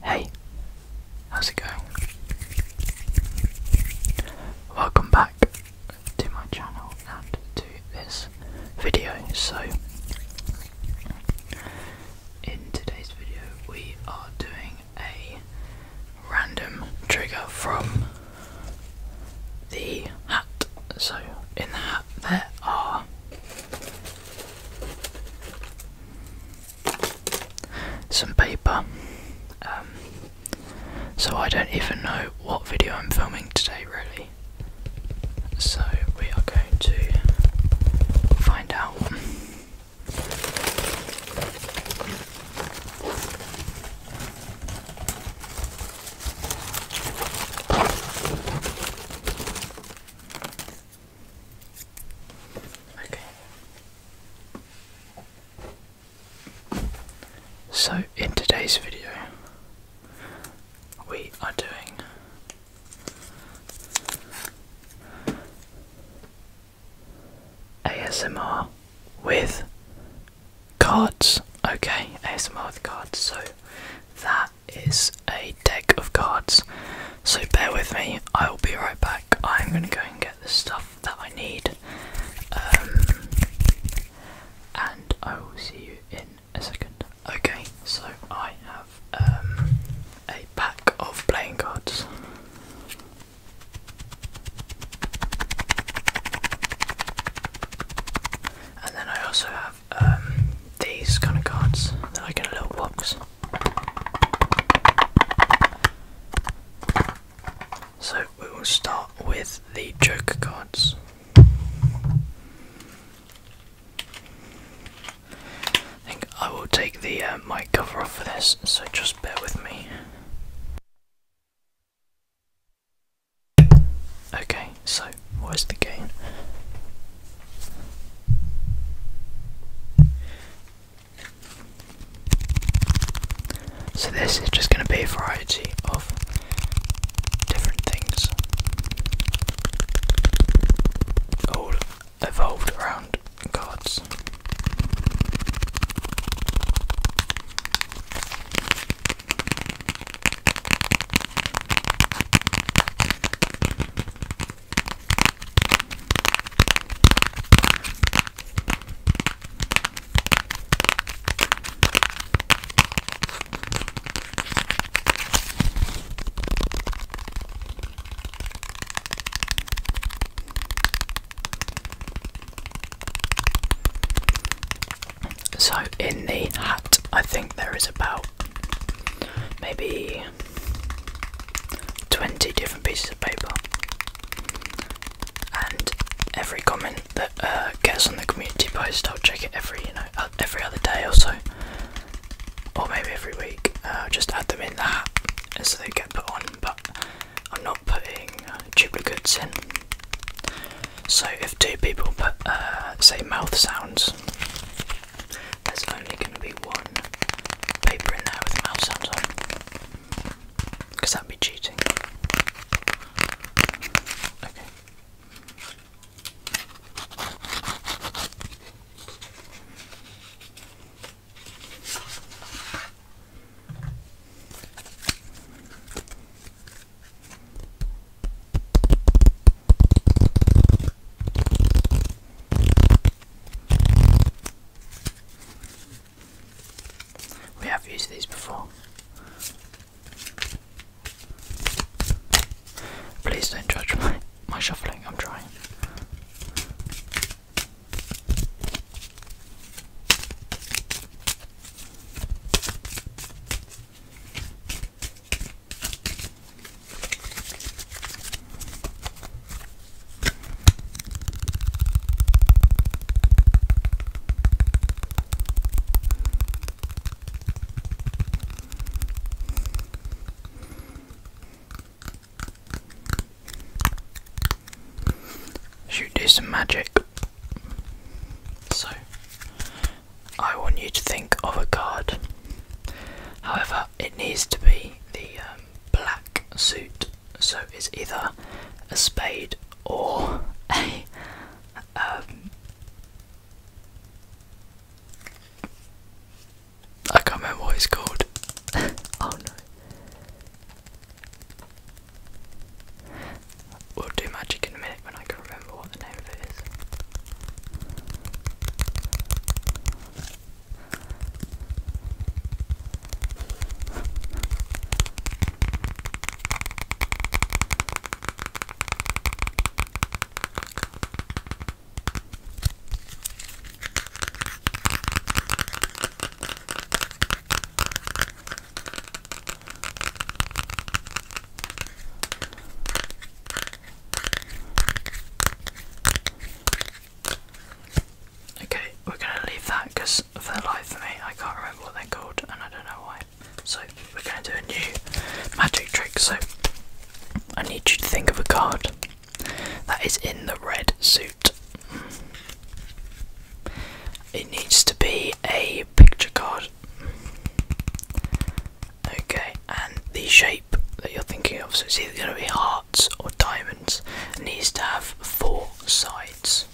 Hey, how's it going? Welcome back to my channel and to this video. So, in today's video we are doing a random trigger from the hat. So in the hat there are some paper. Um, so I don't even know what video I'm filming today really. So we are going to find out. Okay. So in today's video we are doing ASMR with cards. Okay, ASMR with cards. So that is a deck of cards. So bear with me, I will be right back. I'm gonna go and get the stuff that I need. Um, and I will see you in a second. Okay, so I have um, a pack of playing cards. And then I also have um, these kind of cards that I get a little box. So we will start with the Joker cards. I think I will take the uh, mic cover off for this, so just bear with me. Okay, so where's the gain? So this is just going to be a variety of different things all evolved around gods. So, in the hat, I think there is about maybe 20 different pieces of paper, and every comment that uh, gets on the community post. I'll check it every, you know, uh, every other day or so, or maybe every week. Uh, just add them in that, and so they get put on. But I'm not putting uh, goods in. So if two people put, say, mouth sounds, there's only going to be one paper in there with mouth sounds on, because that'd be cheating. Okay. We have used these before. Please don't judge my, my shuffling, I'm trying. Should do some magic. So, I want you to think of a card. However, it needs to be the um, black suit, so it's either a spade or a um, I can't remember what it's called. Oh, we'll do magic in a minute when I can remember what the name of it is. Okay, we're gonna leave that because for the light for me, I can't remember what they're called, and I don't know why. So we're going to do a new magic trick. So I need you to think of a card that is in the red suit. It needs to be a picture card. Okay, and the shape that you're thinking of, so it's either going to be hearts or diamonds, it needs to have four sides.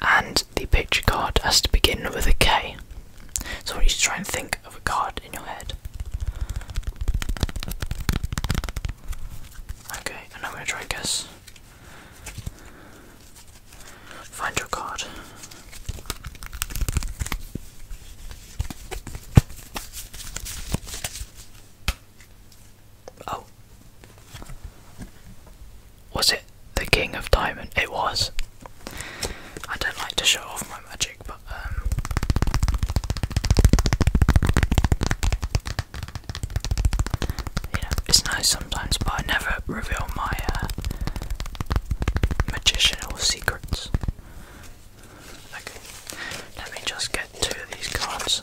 And the picture card has to begin with a K. So I want you to try and think of a card in your head. Okay, and I'm going to try and guess. Find your card. Oh, was it the King of Diamond? It was. I don't like to show off my magic, but um, you know, it's nice sometimes, but I never reveal my uh, secrets. Okay, let me just get two of these cards.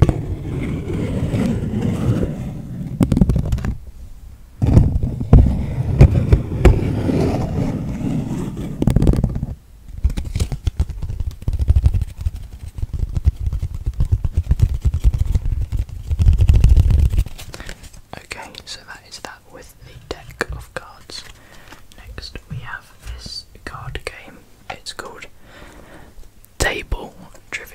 Okay, so that is that with the deck of cards. Next, we have this card game. It's called Table Trivia.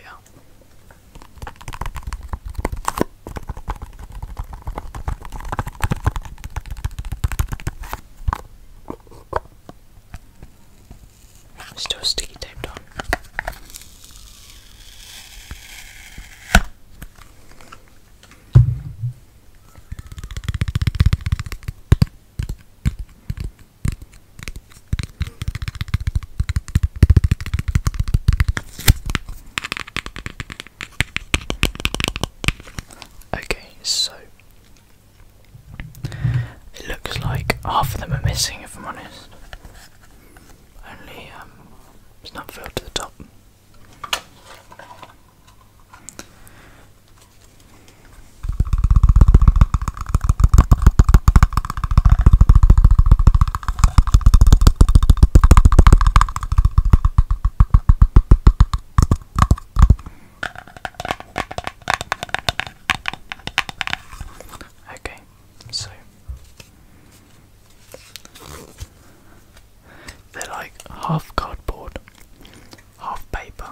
Still sticky taped on. Okay, so it looks like half of them are missing, if I'm honest. Only um, it's not filled to the top. Okay, so they're like half cardboard, half paper,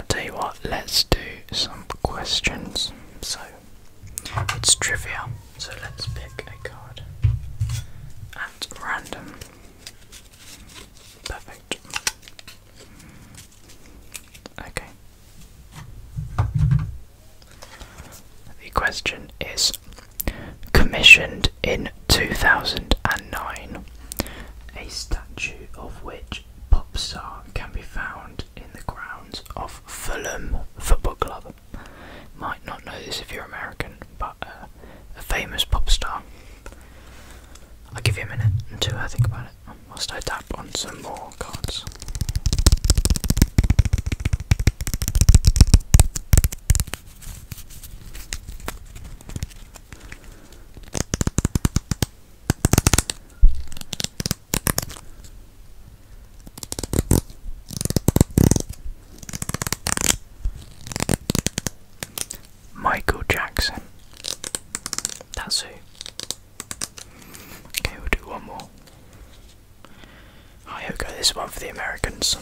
I tell you what, let's do some questions. So it's trivia, so let's pick a card at random. Perfect. Okay. The question is commissioned in 2009, a statue of which pop star can be found in the grounds of Fulham Football Club. Might not know this if you're American, but uh, a famous pop star. I'll give you a minute Two, I think about it whilst I tap on some more cards. Michael Jackson. That's who. Okay, we'll do one more. I hope this one for the Americans.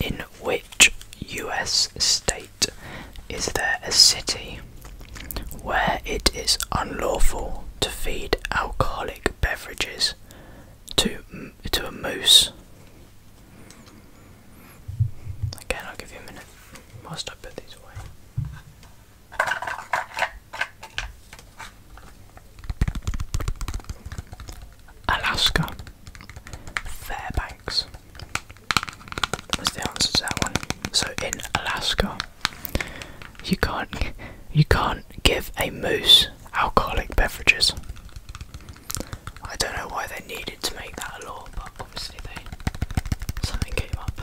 In which US state is there a city where it is unlawful to feed alcoholic beverages to to a moose. Again, I'll give you a minute whilst I put these away. Alaska, Fairbanks was the answer to that one. So in Alaska, you can't you can't give a moose alcoholic beverages. I don't know why they needed to make that a law, but obviously they something came up.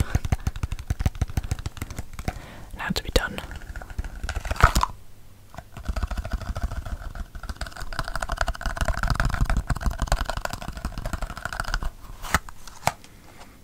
It had to be done.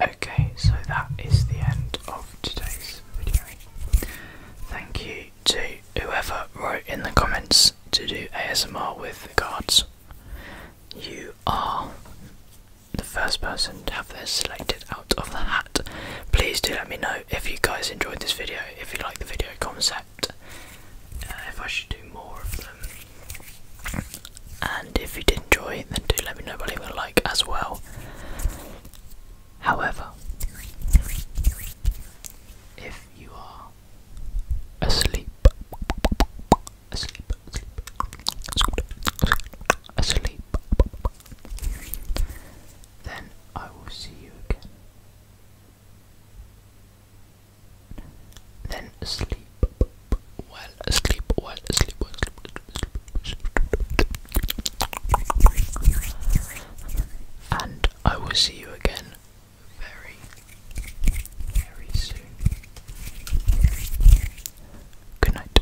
Okay, so that is the end of today's video. Thank you to whoever wrote in the comments to do ASMR with the cards. You are the first person to have this selected out of the hat. Please do let me know if you guys enjoyed this video, if you like the video concept, uh, if I should do more of them. And if you did enjoy, then do let me know by leaving a like as well. However, if you are asleep, asleep, asleep, asleep, then I will see you again. Then sleep well asleep, well asleep, well asleep. And I will see you again very, very soon. Good night.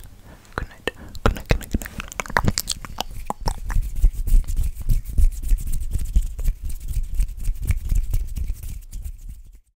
Good night. Good night. Good night.